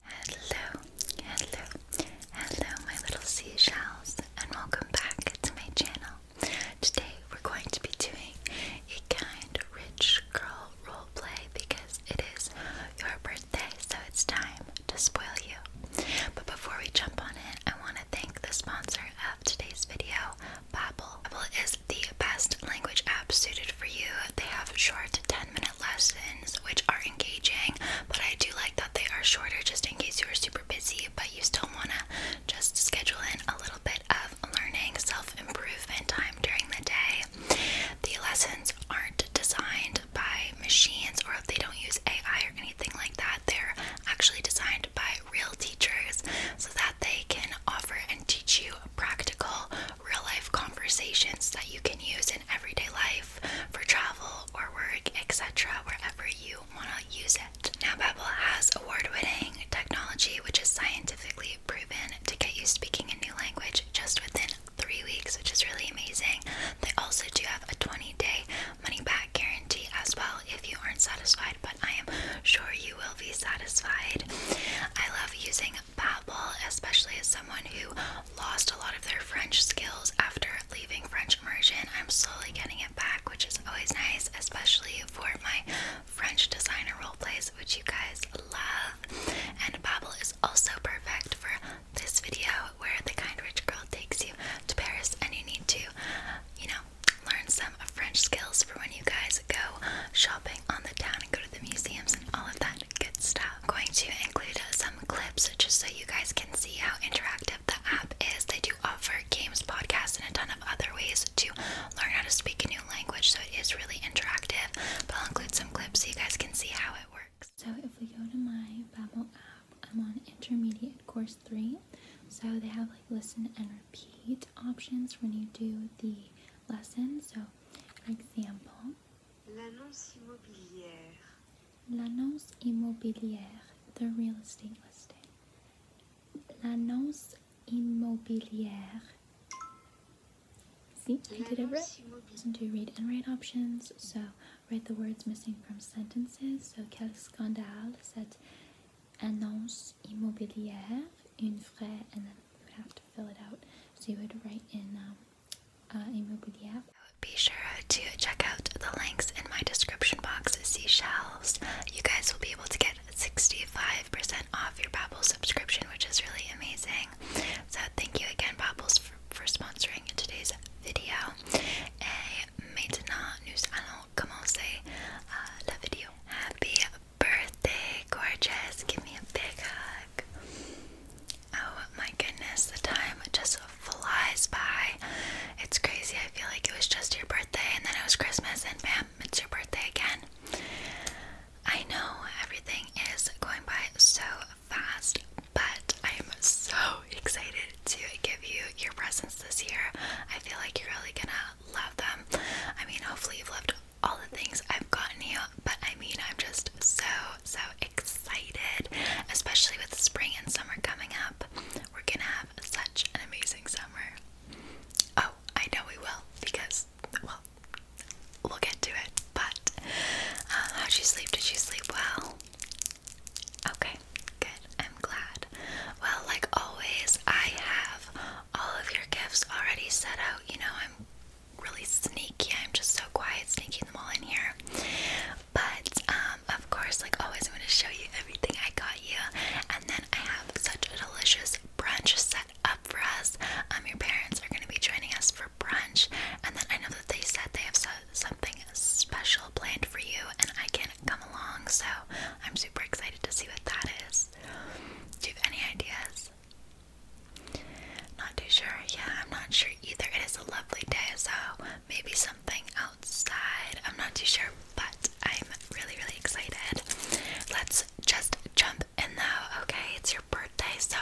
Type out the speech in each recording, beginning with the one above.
Hello, hello, hello, my little seashells, and welcome back to my channel. Today we're going to be doing a kind rich girl role play because it is your birthday, so it's time to spoil you. But before we jump on it, I want to thank the sponsor of today's video, Babbel. Babbel is the best language app suited for you. They have short minute lessons, which are engaging, but I do like that they are shorter just in case you are super busy, but you still want to just schedule in a little bit of learning, self improvement time during the day. The lessons aren't designed by machines or they don't use AI or anything like that, they're actually designed by real teachers so that they can offer and teach you practical real life conversations that you can use in everyday life for travel or work, etc., wherever you want to use it. Now, Babbel has award-winning technology which is scientifically proven to get you speaking a new language just within three weeks, which is really amazing. They also do have a 20-day money-back guarantee as well if you aren't satisfied, but I am sure you will be satisfied. I love using babble, especially as someone who lost a lot of their French skills after leaving French immersion. I'm slowly getting it back, which is always nice, especially for my French designer role plays, which you guys love. And babble is also perfect for this video where the kind rich girl takes you to Paris and you need to, you know, learn some French skills for when you guys go shopping on the town and go to the museums and all of that good stuff. I'm going to include some some clips just so you guys can see how interactive the app is. They do offer games, podcasts, and a ton of other ways to learn how to speak a new language, so it is really interactive. But I'll include some clips so you guys can see how it works. So if we go to my Babbel app, I'm on intermediate course three. So they have like listen and repeat options when you do the lesson. So for example, L'annonce immobilière. L'annonce immobilière, the real estate listing. L'annonce immobilière. See, I did it right. Listen to read and write options. So, write the words missing from sentences. So, quel scandale, cette annonce immobilière, une vraie, and then you have to fill it out. So, you would write in um, uh, be sure to check out the links in my description box. Seashells. You guys will be able to get 65% off your Babble subscription, which is really amazing. So thank you again, Babbels, for, sponsoring today's video. Et maintenant, nous allons commencer uh, la vidéo. Happy birthday, gorgeous! Give me a big hug. Oh my goodness, the time just flies by. It's crazy. I feel like it was just your birthday and then it was Christmas and bam, it's your birthday again. I know everything is going by so fast, but I am so excited to give you your presents this year. I feel like you're really gonna love them. I mean, hopefully, you've loved all the things I've gotten you, but I mean, I'm just so so excited, especially with spring and summer coming up. We're gonna have such an amazing summer. Oh, I know we will because, well, we'll get to it. But uh, how'd you sleep? Did you sleep well? Okay, good. I'm glad. Well, like always, I have all of your gifts already set out. You know, I'm really sneaky. I'm just so quiet, sneaking them all in here. But um, of course, like always, I'm gonna show you everything I got you, and then I have such a delicious brunch set up for us. Um, your parents are gonna be joining us for brunch, and then I know that they said they have so something special planned for you, and I can come along. So I'm super excited to see what that is. Do you have any ideas? Not too sure. Yeah, I'm not sure either. It is a lovely day, so maybe something outside. I'm not too sure, but I'm really, really excited. Let's just jump in though, okay? It's your birthday, so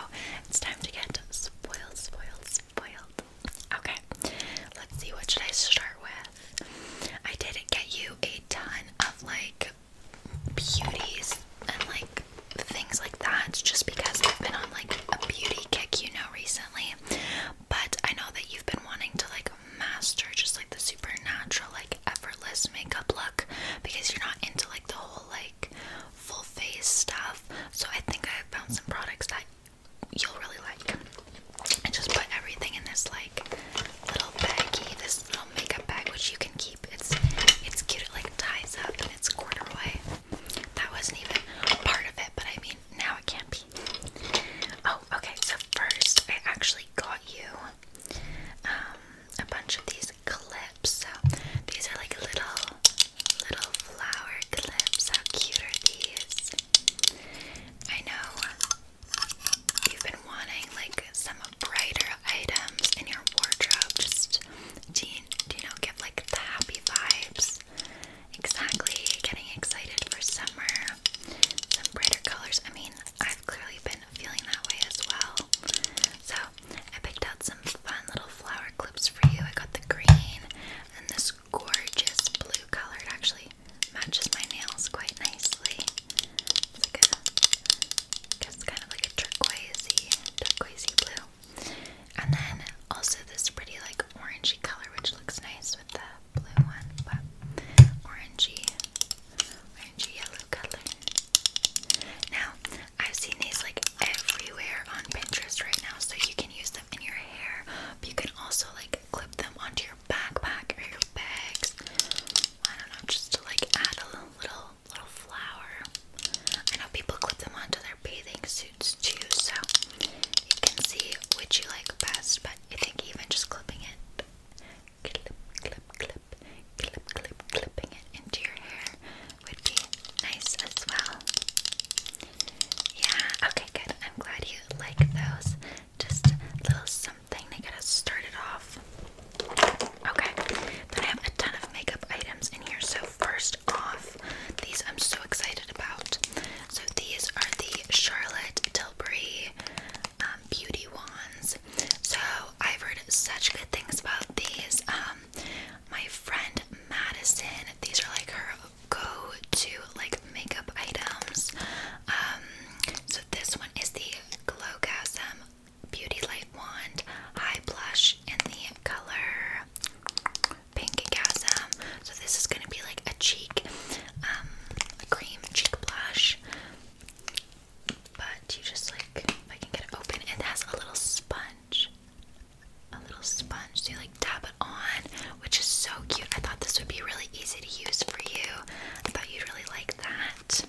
it's time to get spoiled, spoiled, spoiled. Okay, let's see what should I start with. I did get you a ton of like beauties and like things like like just because I've been on like a beauty kick, you know, recently. But I know that you've been wanting to like master just like the supernatural, like effortless makeup look because you're not into like the whole like full face stuff. So I think I've found some products that you'll really like. I just put everything in this like little baggy, this little makeup bag which you can keep. It's it's cute, it like ties up and it's corduroy. That wasn't even part of it, but I mean, now it can't be. Oh, okay, so first I actually got you um, a bunch of these clips. So these are like little, little flower clips. How cute are these? I know you've been wanting like some brighter items in your wardrobe. Just, do you know, give like the happy vibes exactly getting excited for summer. Some brighter colors. I mean, I've clearly been feeling that way as well. So I picked out some fun little flower clips for you. I got the green and this gorgeous blue color. It actually matches my nails quite nicely. It's like a, it's kind of like a turquoisey, turquoisey blue. And then also this pretty like orangey color which looks nice with the blue one, but orangey, orangey yellow color. Now, I've seen these like everywhere on Pinterest right now, so you can use them in your hair, you can also like clip them onto your backpack or your bags. I don't know, just to like add a little little flower. I know people clip them onto their bathing suits too, so you can see which you like best. But I think even just clipping it, clip, clip, clip, clip, clip, clipping it into your hair would be nice as well. Yeah, okay, good. I'm glad you like those. Just a little something to get us started off. Okay, then I have a ton of makeup items in here. So, first off, these I'm so excited about. So these are the Charlotte Tilbury um, beauty wands. So I've heard such good things about these. Um, my friend Madison, these are like her go-to like makeup items. Um, so this one is the Glowgasm Beauty Light Wand High Blush in the color Pink Pinkgasm. So this is gonna be like a cheek, um, a cream cheek blush. But you just like, if I can get it open, it has a little sponge. A little sponge, to like tap it on, which is so cute. I thought this would be really easy to use for you. I thought you'd really like that.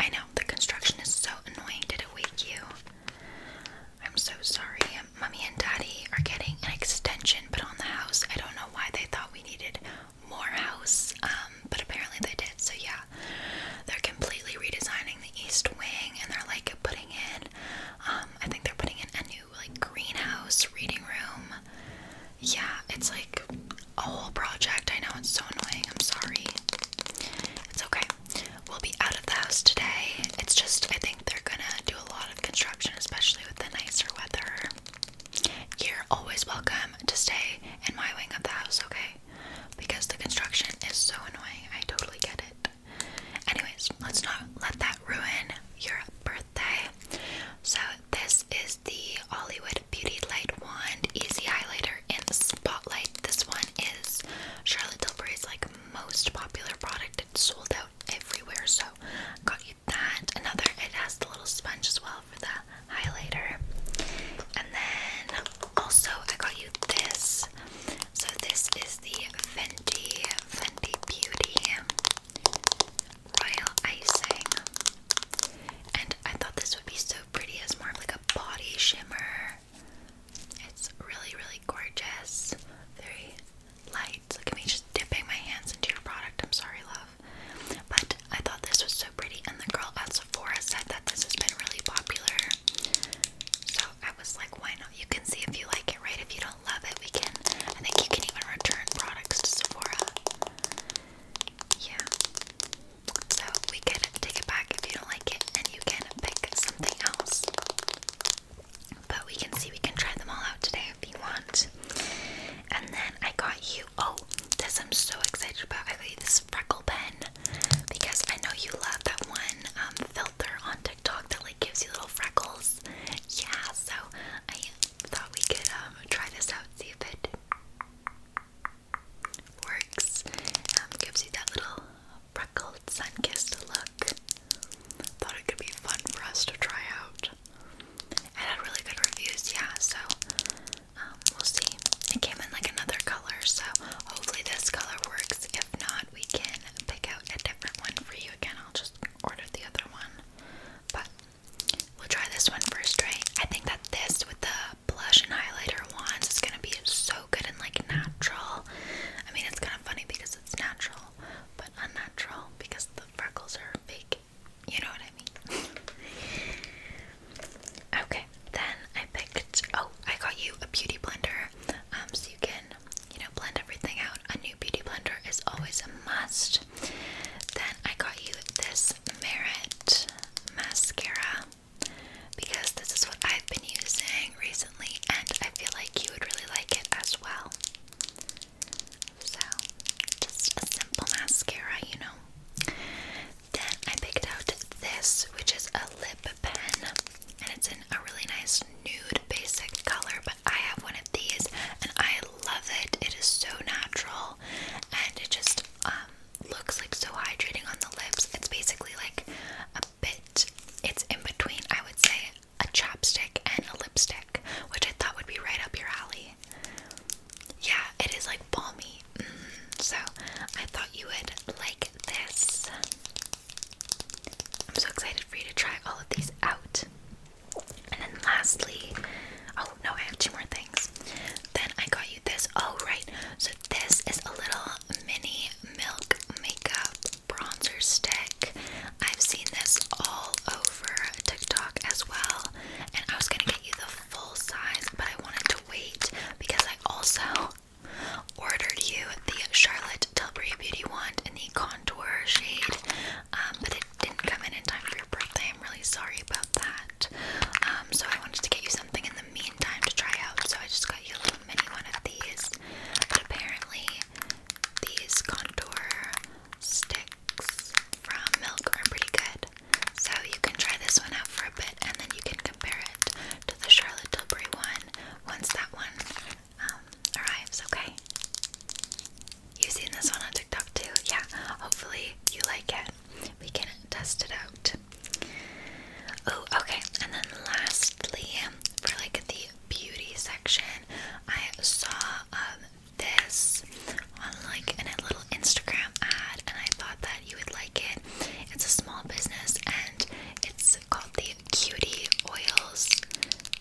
I know the construction is so annoying. Did it wake you? I'm so sorry. Mummy and Daddy are getting an extension put on the house. I don't know why they thought we needed more house, um, but apparently they did. So yeah, they're completely redesigning the east wing, and they're like putting in. Um, I think they're putting in a new like greenhouse, reading room. Yeah, it's like a whole project. I know it's so annoying. I'm sorry. It's okay we will be out of the house today. It's just, I think they're gonna do a lot of construction, especially with the nicer weather. You're always welcome to stay in my wing of the house, okay? Because the construction is so annoying. I totally get it. Anyways, let's not let that ruin your birthday. So, this is the Hollywood Beauty Light Wand Easy Highlighter in Spotlight. This one is Charlotte Tilbury's like most popular product. It's sold out everywhere. So got you that. Another it has the little sponge as well for the highlighter. And then also I got you this. So this is the Fenty Fenty Beauty Royal Icing. And I thought this would be so pretty as more of like a body shimmer. It's really, really gorgeous, very light. Look at me just dipping my hands into your product. I'm sorry, love. But I thought this was so pretty, and the girl at Sephora said that this has been really popular. So I was like, why not? You can see if you like it, right? If you don't love it, we can. I think you can even return products to Sephora. Yeah. So we can take it back if you don't like it, and you can pick something else. But we can see we can try them all out today if you want. And then I got you oh, this I'm so excited about. I got you this freckle pen because I know you love that one um, filter on TikTok that like gives you little freckles. Yeah, so I thought we could um, try this out, see if it works. Um gives you that little freckled, sun-kissed look. Thought it could be fun for us to try out. It had really good reviews, yeah, so um, we'll see. It came in like another color, so hopefully this color works. If not, we can pick out a different one for you again. I'll just order the other one. But we'll try this one first, I think that this with the blush and highlighter ones is gonna be so good and like natural. I mean, it's kind of funny because it's natural, but unnatural because the freckles are fake. You know what I mean? okay, then I picked. Oh, I got you a beauty blender, um, so you can, you know, blend everything out. A new beauty blender is always a must. Then I got you this Merit mascara because this is what I've been using recently, and I feel like you would really like it as well. So, just a simple mascara, you know. Then I picked out this, which is a lip pen, and it's in a really nice nude basic color. But I have one of these, and I love it. It is so natural, and it just um, looks like so hydrating on the lips. It's basically like bit. It's in between, I would say, a chopstick and a lipstick, which I thought would be right up your alley. Yeah, it is like balmy. Mm. so I thought you would like this. I'm so excited for you to try all of these out. And then lastly, oh no, I have two more things. Then I got you this. Oh, right. So this is a little mini milk makeup bronzer stick. I've seen this all over TikTok as well, and I was gonna get you the full size, but I wanted to wait because I also ordered you the Charlotte Tilbury Beauty Wand in the contour shade, um, but it didn't come in in time for your birthday. I'm really sorry about that. Um, so I wanted to get you something in the meantime to try out, so I just got you a little mini one of these. But apparently, these contour sticks from Milk are pretty good. So you can try this one out for a bit and then you can compare it to the Charlotte Tilbury one once that one um, arrives, okay? You've seen this one on TikTok too? Yeah, hopefully you like it. We can test it out. Oh, okay. And then lastly, for like the beauty section, I saw um, this on like a little Instagram ad, and I thought that you would like it. It's a small business, and it's called the Cutie Oils.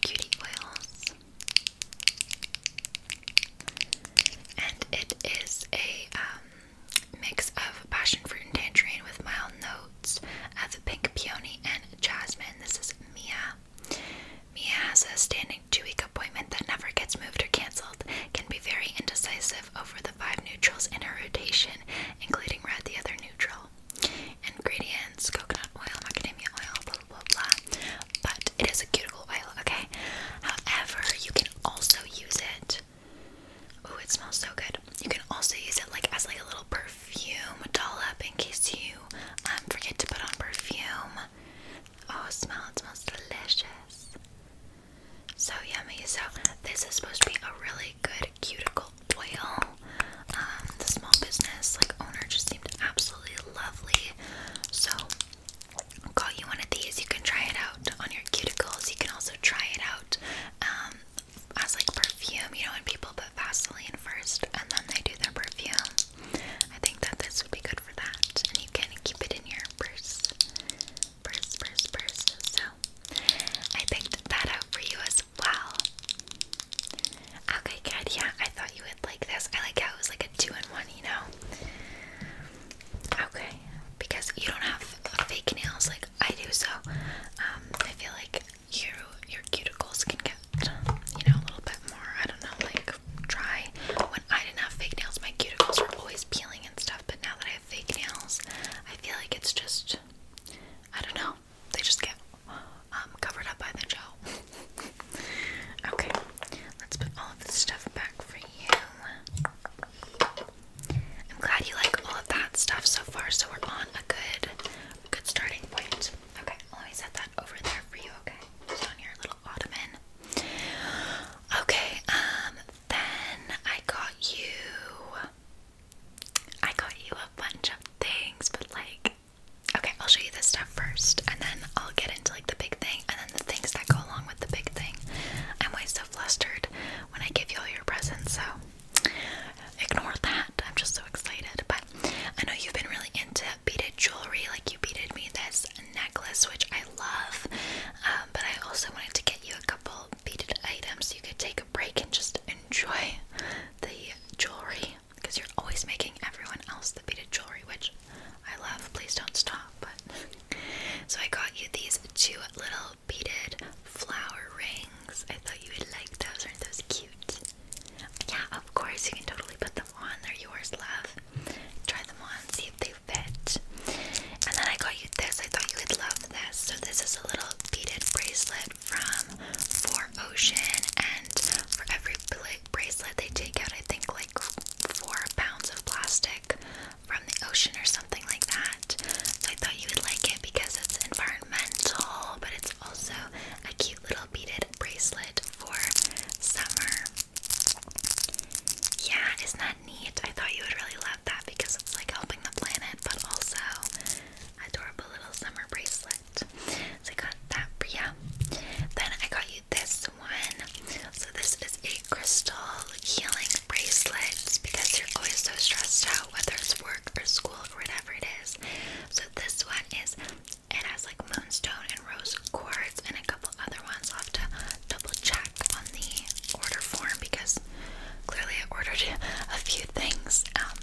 Cutie Oils, and it is a um, mix of passion fruit and tangerine with mild notes of pink peony and jasmine. This is Mia. Mia has a standing two-week appointment that never gets moved or canceled, can be very indecisive over the five neutrals in her rotation, including red, the other neutral. Ingredients, coconut oil, macadamia oil, blah, blah, blah, But it is a cuticle oil, okay? However, you can also use it. Oh, it smells so good. You can also use it like as like a little perfume perfume dollop in case you um, forget to put on perfume. Oh, smell! It smells delicious. So yummy. So this is supposed to be a really good cuticle oil. Um, the small business like owner just seemed absolutely lovely. So I'll call you one of these. You can try it out on your cuticles. You can also try it out um, as like perfume. You know when people put Vaseline first and then they do their perfume. I think that this would be good for that. And you can keep it in your purse. Purse, purse, purse. So I picked that out for you as well. Okay, good. Yeah, I thought you would like this. I like how it was like a two in one, you know? Okay, because you don't have fake nails like I do, so um, I feel like you your cuticles can get you know a little bit more I don't know like dry. When I didn't have fake nails, my cuticles were always peeling and stuff. But now that I have fake nails, I feel like it's just I don't know. They just get um, covered up by the gel. okay, let's put all of this stuff back for you. I'm glad you like all of that stuff so far. So we're on a good, good starting point. Okay, let me set that over there for you, okay? Just on your little ottoman. Okay, um, then I got you I got you a bunch of things, but like okay, I'll show you this stuff first and then I'll get into like the big thing and then the things that go along with the big thing. I'm always so flustered when I give you all your presents, so ignore that. I'm just so excited. But I know you've been really into beaded jewelry, like you beaded me this necklace, which I love. Um, but I also wanted to get you a couple beaded items so you could take a break and just enjoy the jewelry because you're always making everyone else the beaded jewelry, which I love. Please don't stop. so I got you these two little beaded flower rings. I thought you would like those. Aren't those cute? Yeah, of course. You can totally put them have on. They're yours, love. Try them on, see if they fit. And then I got you this. I thought you would love this. So this is a little beaded bracelet from Four Ocean, and for every bracelet they take out, I think like four pounds of plastic from the ocean or something like that. So I thought you would like it because it's environmental, but it's also a cute little beaded bracelet for summer. Yeah, isn't that neat? I thought you would really love that because it's like helping the planet, but also adorable little summer bracelet. So I got that for Then I got you this one. So this is a crystal healing bracelet because you're always so stressed out, whether it's work or school or whatever it is. So this one is it has like moonstone and rose quartz and a couple other ones. i have to double check on the order form because clearly I ordered a few things. Um,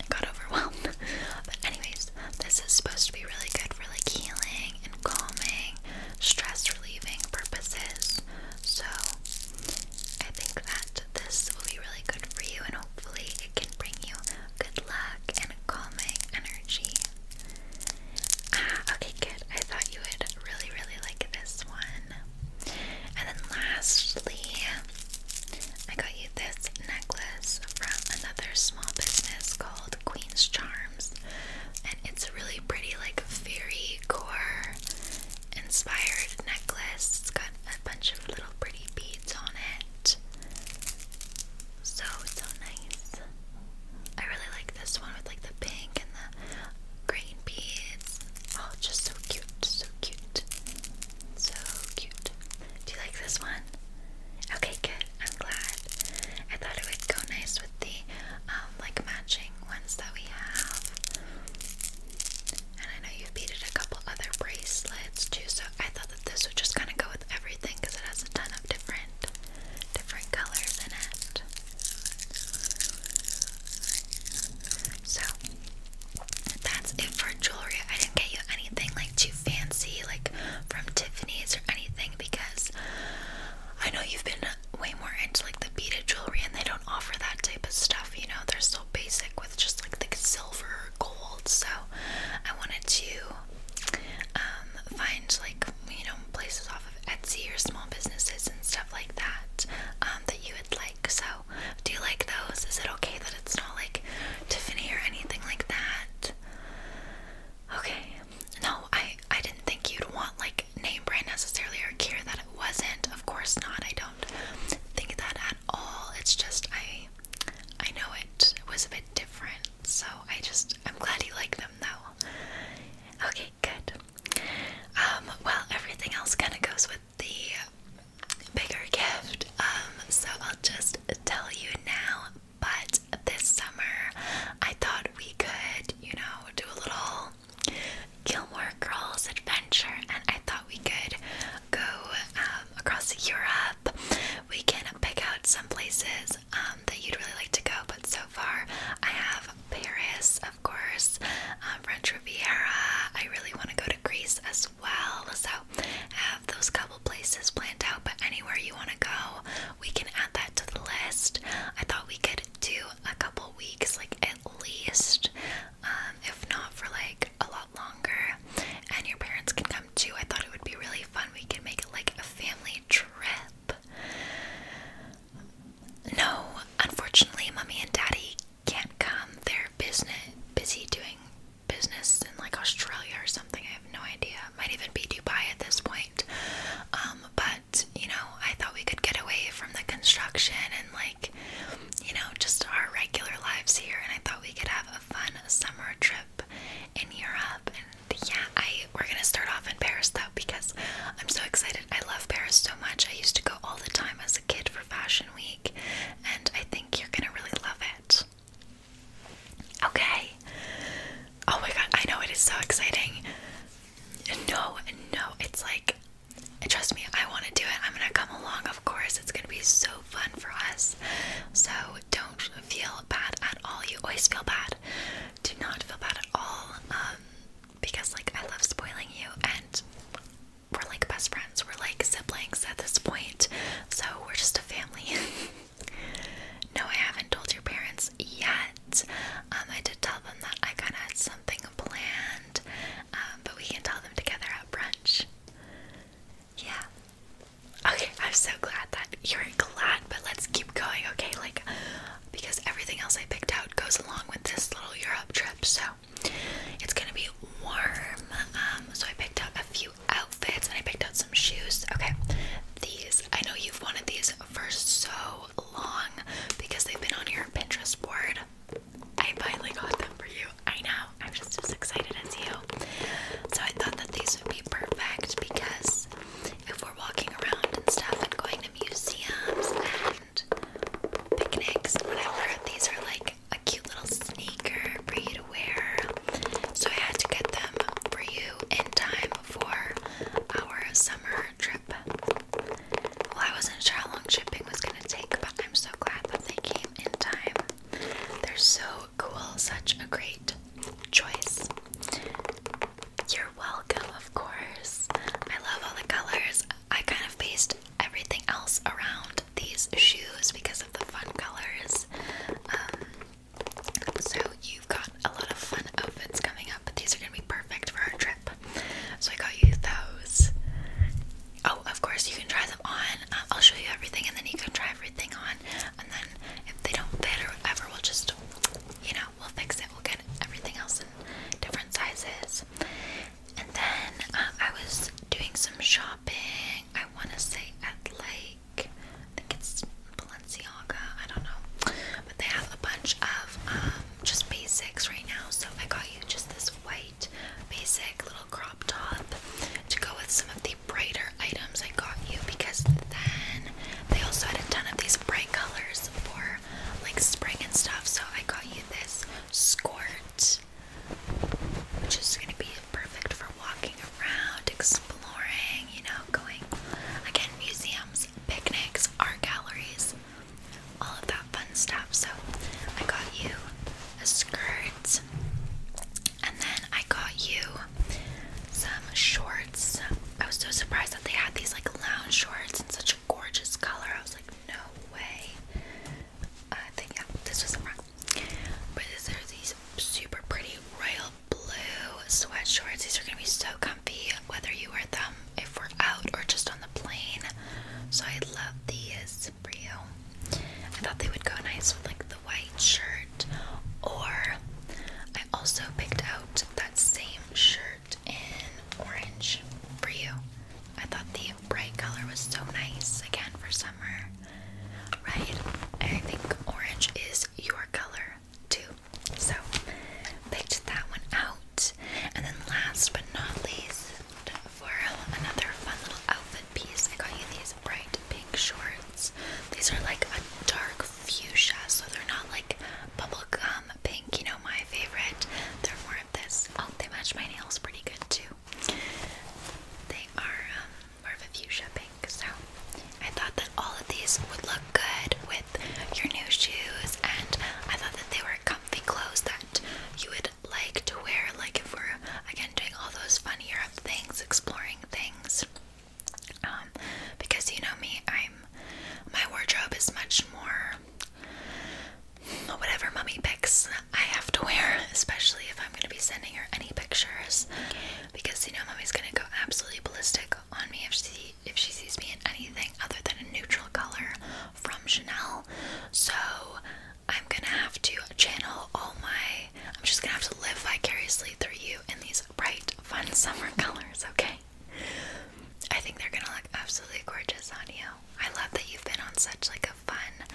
I got overwhelmed. But anyways, this is supposed to be really good for like healing and calming, stress relieving purposes. So I think that this will be really good for you and hopefully it can bring you good luck and and calming energy. Ah, okay, good. I thought you would really, really like this one. And then lastly, I got you this necklace from another small business called Queen's Charms. And it's really pretty, like fairy core inspired necklace. It's got a bunch of little pretty beads on it. So so nice. I really like this one with like the pink and the green beads. Oh, just so cute, so cute, so cute. Do you like this one? Okay, good. I'm glad. I thought it would go nice with the um, like matching ones that we have. And I know you've beaded a couple other bracelets too, so I thought this would just kind of go with everything because it has a ton of different different colors in it. So that's it for jewelry. I didn't get you anything like too fancy like from Tiffany's or anything because I know you've been way more into like the beaded jewelry and they don't offer that type of stuff, you know. They're so basic with just like the silver or gold. So I wanted to um, find like you know places off of Etsy or small businesses and stuff like that um, that you would like. So, do you like those? Is it okay that it's not like Tiffany or anything like that? Okay. No, I I didn't think you'd want like name brand necessarily or care that it wasn't. Of course not. I don't think that at all. It's just I I know it was a bit different. So I just I'm glad you like them though. Okay, good. Um, well everything else kinda goes with the bigger gift. Um, so I'll just tell you now, but this summer I thought we could, you know, do a little Gilmore Girls adventure, and I thought we could go um, across Europe. We can pick out some places um, that you'd really like to go, but so far I have Paris, of course, um, French Riviera. I really want to go to Greece as well, so I have those couple places planned out. But anywhere you want to go, we can add that to the list. I thought we could do a couple weeks, like at least, um, if not for like a lot longer, and your parents can come too. I thought it would be really fun. We could make it like a family trip. No, unfortunately, mommy and daddy can't come. They're business busy doing business in like Australia or something. I have no idea. Might even be Dubai at this point. Um, but you know, I thought we could get away from the construction and like you know, just our regular lives here. And I thought we could have a fun summer trip in Europe yeah, I we're gonna start off in Paris though because I'm so excited. I love Paris so much. I used to go all the time as a kid for Fashion Week, and I think you're gonna really love it. Okay. Oh my god, I know it is so exciting. No, no, it's like trust me, I want to do it. I'm gonna come along, of course. It's gonna be so fun for us. So don't feel bad at all. You always feel bad. Do not feel bad at all. Um, because like I love spoiling you, and we're like best friends. We're like siblings at this point. So we're just a family. no, I haven't told your parents yet. Um, I did tell them that I kind of had something planned, um, but we can tell them together at brunch. Yeah. Okay, I'm so glad that you're glad, but let's keep going, okay? Like, because everything else I picked out goes along with this little Europe trip, so it's gonna be warm. Um, so I picked out a few outfits and I picked out some shoes. Okay, these I know you've wanted these for so long because they've been on your Pinterest board. I finally got them for you. I know, I'm just as excited as you. So I thought that these would be perfect because if we're walking around and stuff and going to museums and picnics and whatever, these are like a cute little sneaker for you to wear. So I had to get them for you in time for our summer trip. Well, I wasn't sure how long shipping was going to take, but I'm so glad that they came in time. They're so cool, such a great choice. You're welcome, of course. I love all the colors. I kind of based everything else around these shoes because of the fun colors. Um, so, you've got a lot of fun outfits coming up, but these are going to be perfect for our trip. So, I got you those. Oh, of course, you can try them on. Uh, I'll show you everything, and then you can try everything on. And then, if they don't fit or whatever, we'll just you know, we'll fix it. We'll get everything else in different sizes. And then uh, I was doing some shopping. I want to say at like, I think it's Balenciaga. I don't know, but they have a bunch of um, just basics right now. So I got you just this white basic little crop top to go with some of the brighter items I got you because then they also had a ton of these bright colors for like spring and stuff. So I got you this skirt, which is gonna be perfect for walking around, exploring, you know, going again, museums, picnics, art galleries, all of that fun stuff. So I got you a skirt and then I got you some shorts. I was so surprised that they had these like lounge shorts in such a gorgeous color. I was like, no way. Uh, I think yeah, this was a wrong. But these are these super pretty royal blue sweat shorts. These are gonna be so comfy whether you wear them if we're out or just on the plane. So I love these for you. I thought they would go nice with like the white shirt or I also picked out that same shirt in orange for you. I thought the bright color was so nice again for summer, right? I think orange is your color too. So, picked that one out. And then, last but not least, for another fun little outfit piece, I got you these bright pink shorts. These are like a dark fuchsia, so they're not like bubblegum pink, you know, my favorite. They're more of this. Oh, they match my nails pretty good too. They are um, more of a fuchsia pink, so I thought that all of these would look good with your new shoes, and I thought that they were comfy clothes that you would like to wear, like if we're again doing all those fun Europe things, exploring things. Um, because you know me, I'm my wardrobe is much more whatever mummy picks I have to wear, especially if I'm gonna be sending her any pictures. Because you know mummy's gonna go absolutely ballistic on me if she if she sees me in anything other than a neutral color from Chanel. So I'm gonna have to channel all my I'm just gonna have to live vicariously through you in these bright, fun summer colors, okay? I think they're gonna look absolutely gorgeous on you. I love that you've been on such like a fun,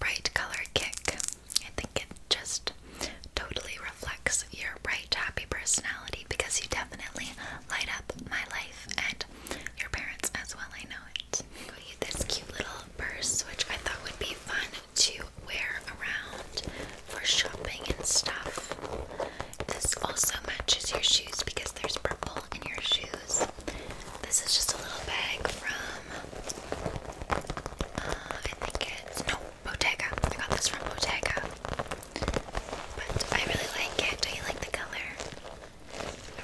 bright color kick. I think it just totally reflects your bright, happy personality because you definitely light up my life and your parents as well. I know it. Got you this cute little purse, which I thought would be fun to wear around for shopping and stuff. This also matches your shoes because there's purple in your shoes. This is just a little bag from, uh, I think it's, no, Bottega. I got this from Bottega. But I really like it. Do you like the color?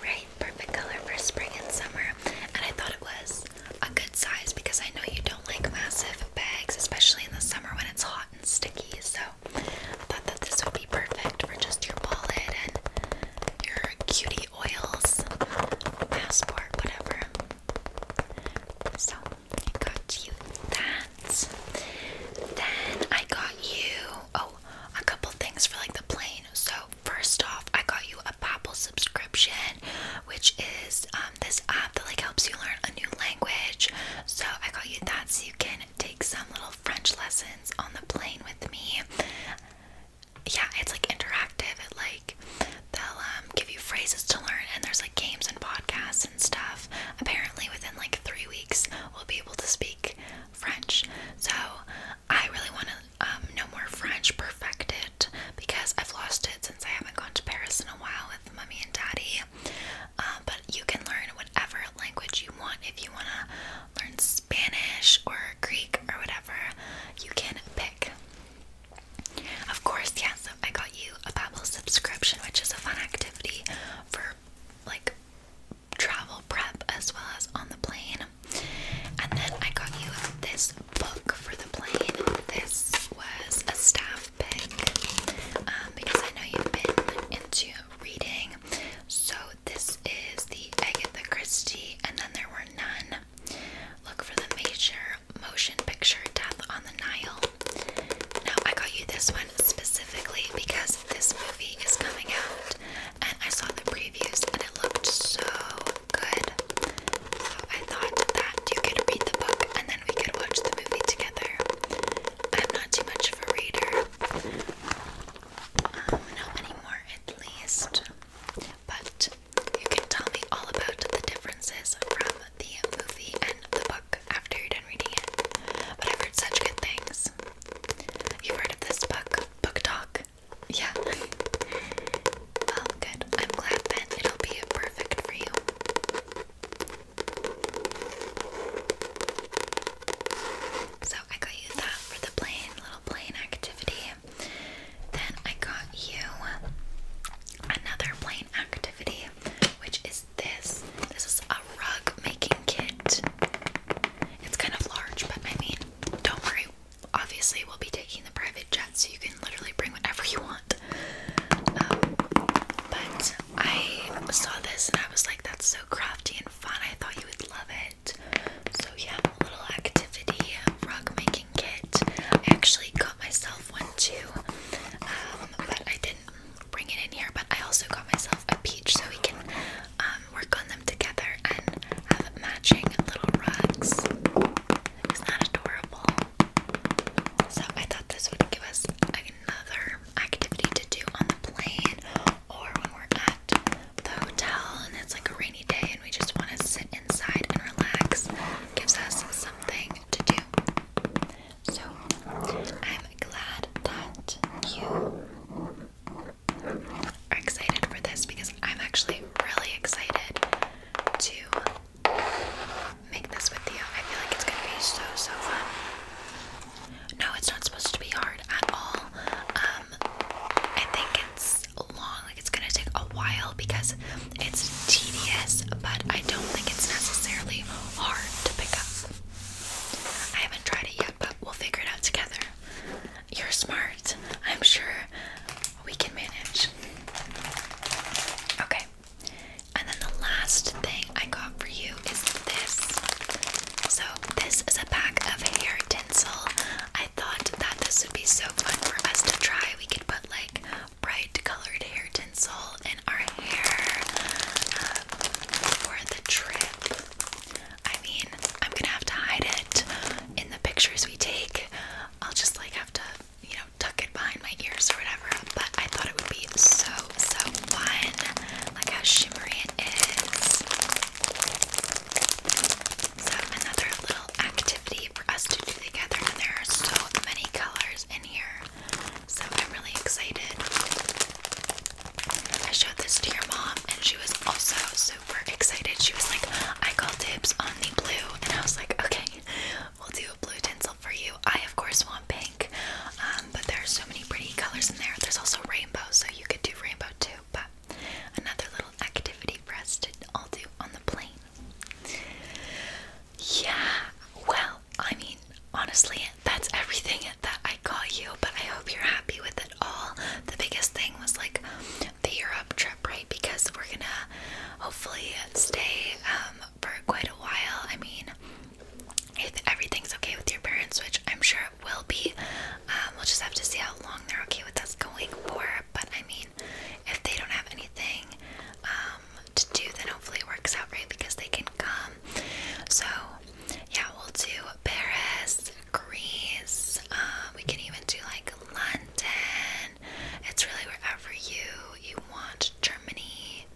Right, perfect color for spring and summer. And I thought it was a good size because I know you don't like massive bags, especially in the summer when it's hot and sticky, so I thought that this would be perfect for just your wallet and your cutie oils, passport, whatever. So I got you that. Then I got you oh a couple things for like the plane. So first off, I got you a Babel subscription, which is um, this app that like helps you learn a new language. So I got you that so you can take some little French lessons on the plane with me. Yeah, it's like interactive. It like they'll um, give you phrases to learn and there's like games and podcasts and stuff. Apparently within like three weeks we'll be able to speak French. So I really want to um, know more French, perfect it because I've lost it since I haven't gone to Paris in a while Mummy and daddy. Uh, but you can learn whatever language you want. If you want to learn Spanish or Greek or whatever, you can pick. Of course, yeah, I got you a Babbel subscription, which is a fun activity for like travel prep as well as on the plane. And then I got you this book for the plane. This was a staff um, because I know you've been into reading. So this is the Agatha Christie, and then there were none. Look for the major motion picture Death on the Nile. Now I got you this one specifically because this movie is coming out, and I saw the previews and it looked so good. So I thought that you could read the book and then we could watch the movie together. I'm not too much of a reader. Um, anymore, at least. But you can tell me all about the differences from the movie and the book after you're done reading it. But I've heard such good things. You've heard this book, Book Talk? Yeah. Well, good. I'm glad then it'll be perfect for you. So I got you that for the plane, little plane activity. Then I got you another plane activity, which is this. This is a rug making kit. It's kind of large, but I mean, don't worry. Obviously, we'll be taking the private jet, so you can literally bring whatever you want. Um, but I saw this and I was like, that's so crafty and fun. I thought you would love it. So, yeah, a little activity rug making kit. I actually got myself one too, um, but I didn't bring it in here. But I also got myself a peach so we can um, work on them together and have matching little rugs. Isn't that adorable? So, I thought this would give us another activity to do on the plane or when we're at the hotel and it's like a rainy day and we just want to sit inside and relax gives us something to do. So I'm glad that you are excited for this because I'm actually really excited to make this with you. I feel like it's gonna be so so fun. No, it's not supposed to be hard at all. Um, I think it's long, like it's gonna take a while because it's tedious, but I don't think it's necessarily hard to pick up. I haven't tried it yet, but we'll figure it out together. You're smart. I'm sure we can manage. Okay, and then the last thing I got for you is this. So this is a pack of hair tinsel. I thought that this would be so fun for us to try. We could put like bright colored hair tinsel in our hair um, for the trip. I mean, I'm gonna have to hide it in the pictures we take. I'll just like have to, you know, tuck it behind my ears or whatever. But I thought it would be so so one, like how shimmery it is. So another little activity for us to do together, and there are so many colors in here. So I'm really excited. I showed this to your mom, and she was also super excited. She was like, I call dibs on the blue, and I was like, okay, we'll do a blue tinsel for you. I, of course, want pink. Um, but there so many pretty colors in there. There's also rainbow, so you could do rainbow too. But another little activity for us to all do on the plane. Yeah, well, I mean, honestly, that's everything that I got you, but I hope you're happy with it all. The biggest thing was like the Europe trip, right? Because we're gonna hopefully stay um, for quite a while. I mean, if everything's okay with your parents, which I'm sure it will be, um, we'll just have to see how long they're okay with us going for. But I mean, if they don't have anything um, to do, then hopefully it works out right because they can come. So, yeah, we'll do Paris, Greece, uh, we can even do like London. It's really wherever you you want. Germany.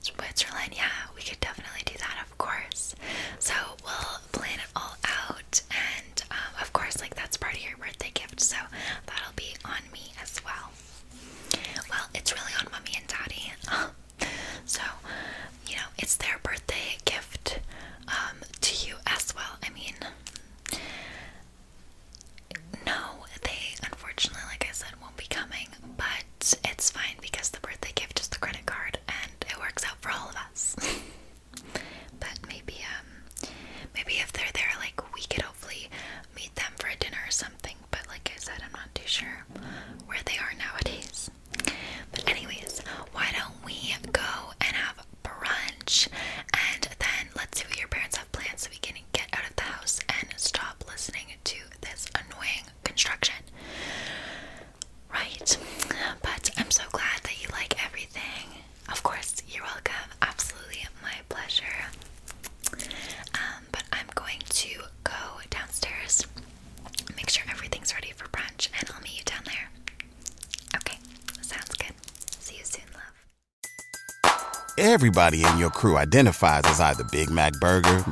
Switzerland, yeah, we could definitely do that, of course. So we'll plan it all out, and um, of course, like that's part of your birthday gift, so that'll be on me as well. Well, it's really on mommy and daddy, so you know it's their birthday gift um, to you as well. I mean, no, they unfortunately, like I said, won't be coming, but it's fine because the birthday gift is the credit card and it works out for all of us. but maybe um, maybe if they're there like we could hopefully meet them for a dinner or something, but like I said I'm not too sure where they are nowadays. But anyways, why don't we go and have brunch and then let's see what your parents have planned so we can get out of the house and stop listening to this annoying construction. Right, but I'm so glad that you like everything. Of course, you're welcome. Absolutely my pleasure. Um, but I'm going to go downstairs, make sure everything's ready for brunch, and I'll meet you down there. Okay, sounds good. See you soon, love. Everybody in your crew identifies as either Big Mac Burger,